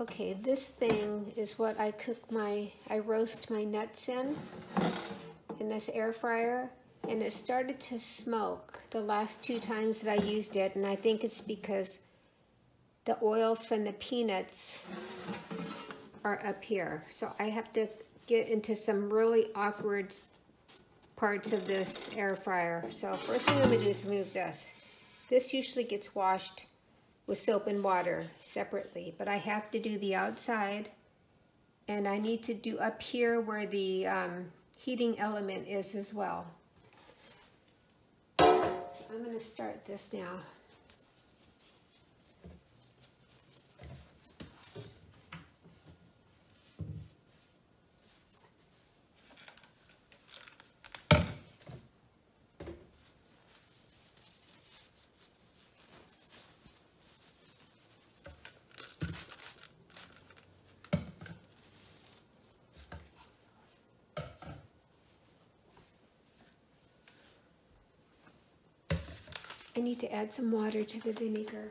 Okay, this thing is what I cook my, I roast my nuts in, in this air fryer, and it started to smoke the last two times that I used it, and I think it's because the oils from the peanuts are up here. So I have to get into some really awkward parts of this air fryer. So first thing I'm gonna do is remove this. This usually gets washed with soap and water separately, but I have to do the outside and I need to do up here where the um, heating element is as well. So I'm gonna start this now. I need to add some water to the vinegar.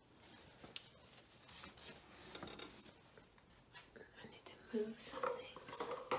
I need to move some things. Okay.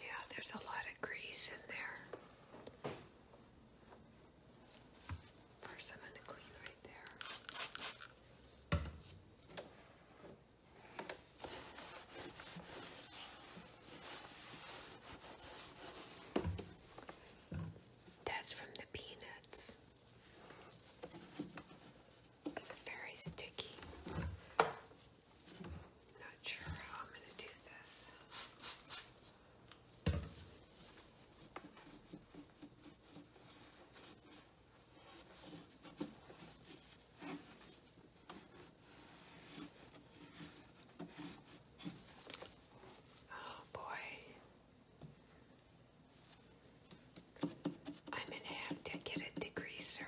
Yeah, there's a lot of grease in there. First, I'm going to clean right there. That's from the peanuts. Very sticky. Not sure how I'm going to do this. Oh, boy. I'm going to have to get a degreaser.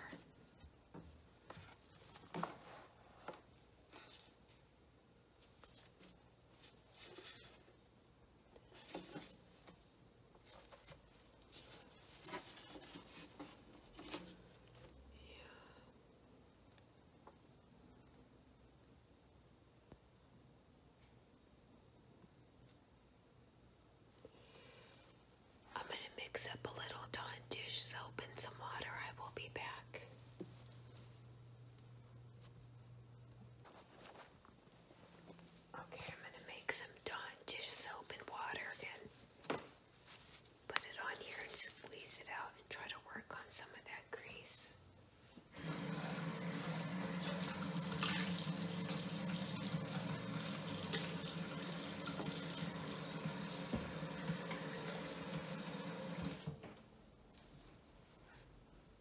I'm going to mix up a little Dawn dish soap and some water. I will be back. Okay, I'm going to make some Dawn dish soap and water and put it on here and squeeze it out and try to work on some of that grease.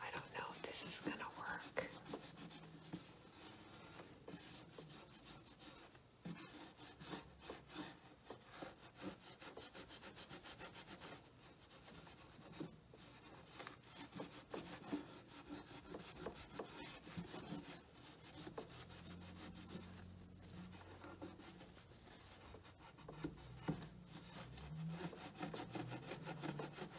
I don't know if this is going to work.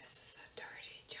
This is a dirty job.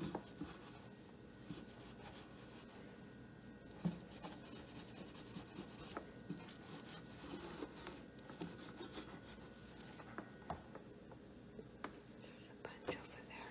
There's a bunch over there.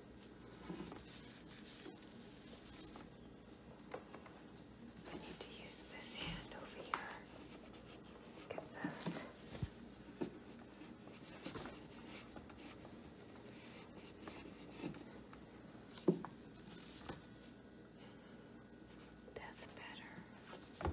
I need to use this hand over here. Get this. That's better.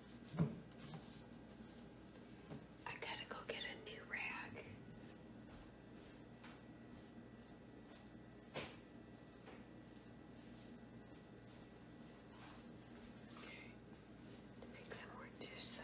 I gotta go get a new rag. Okay. To make some more dish soap.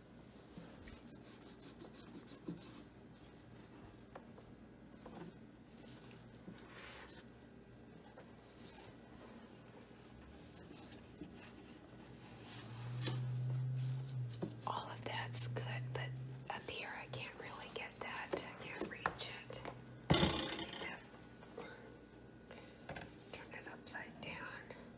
All of that's good, but up here I can't really get that. I can't reach it. turn it upside down.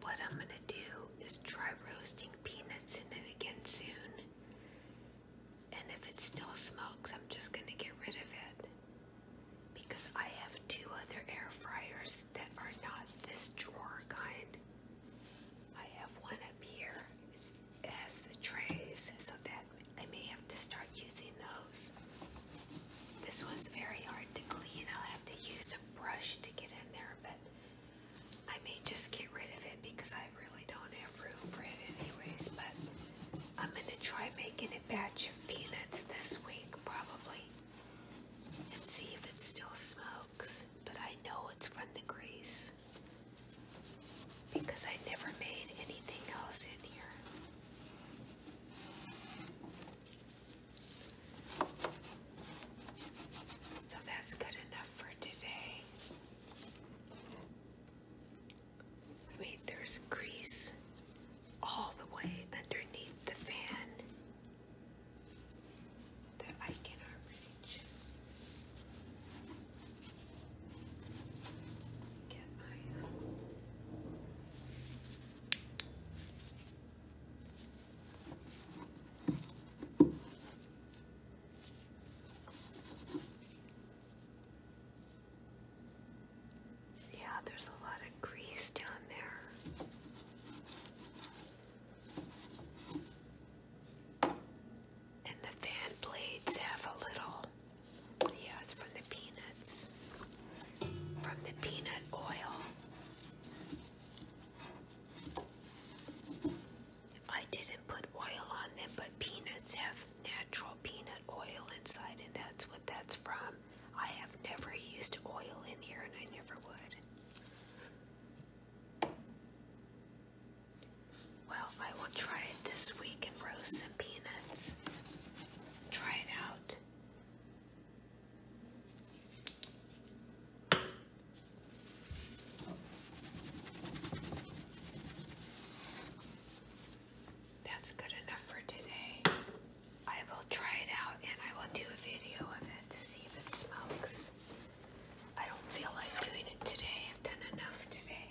What I'm going to do is try roasting peanuts in it again soon. And if it still smokes, I'm just going to get rid of it. Because I have two other air fryers that are not this drawer kind. I have one up here. as the trays, so that I may have to start using those. This one's very hard to clean. I'll have to use a brush to get in there, but I may just get rid of it because I really don't have room for it anyways, but I'm going to try making a batch of peanuts this week probably and see if it still smokes, but I know it's from the grease because I never made anything else in here. So that's good enough I mean, there's grease all the way underneath the fan that I cannot reach. Yeah, there's a lot of grease down there. And the fan blades have a little, yeah, it's from the peanuts, from the peanut oil. I didn't put oil on them, but peanuts have natural peanut oil inside, and that's what that's from. I have never used oil in here, and I never would. Well, I will try it this week and roast some peanuts. Try it out. That's good enough for today. I will try it out and I will do a video of it to see if it smokes. I don't feel like doing it today. I've done enough today.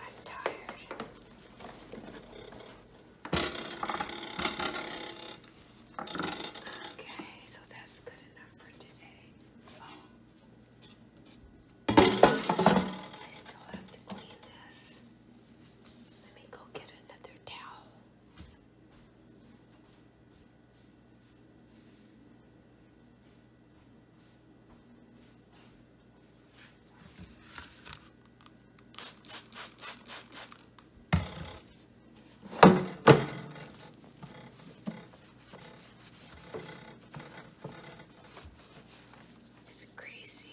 I'm tired. Okay, so that's good enough for today. Oh. I still have to clean this. Let me go get another towel. It's crazy.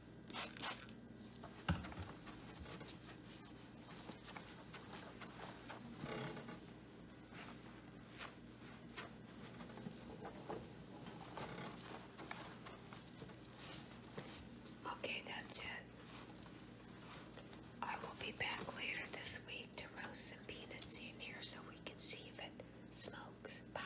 Okay, that's it. I will be back later this week to roast some peanuts in here so we can see if it smokes. Bye.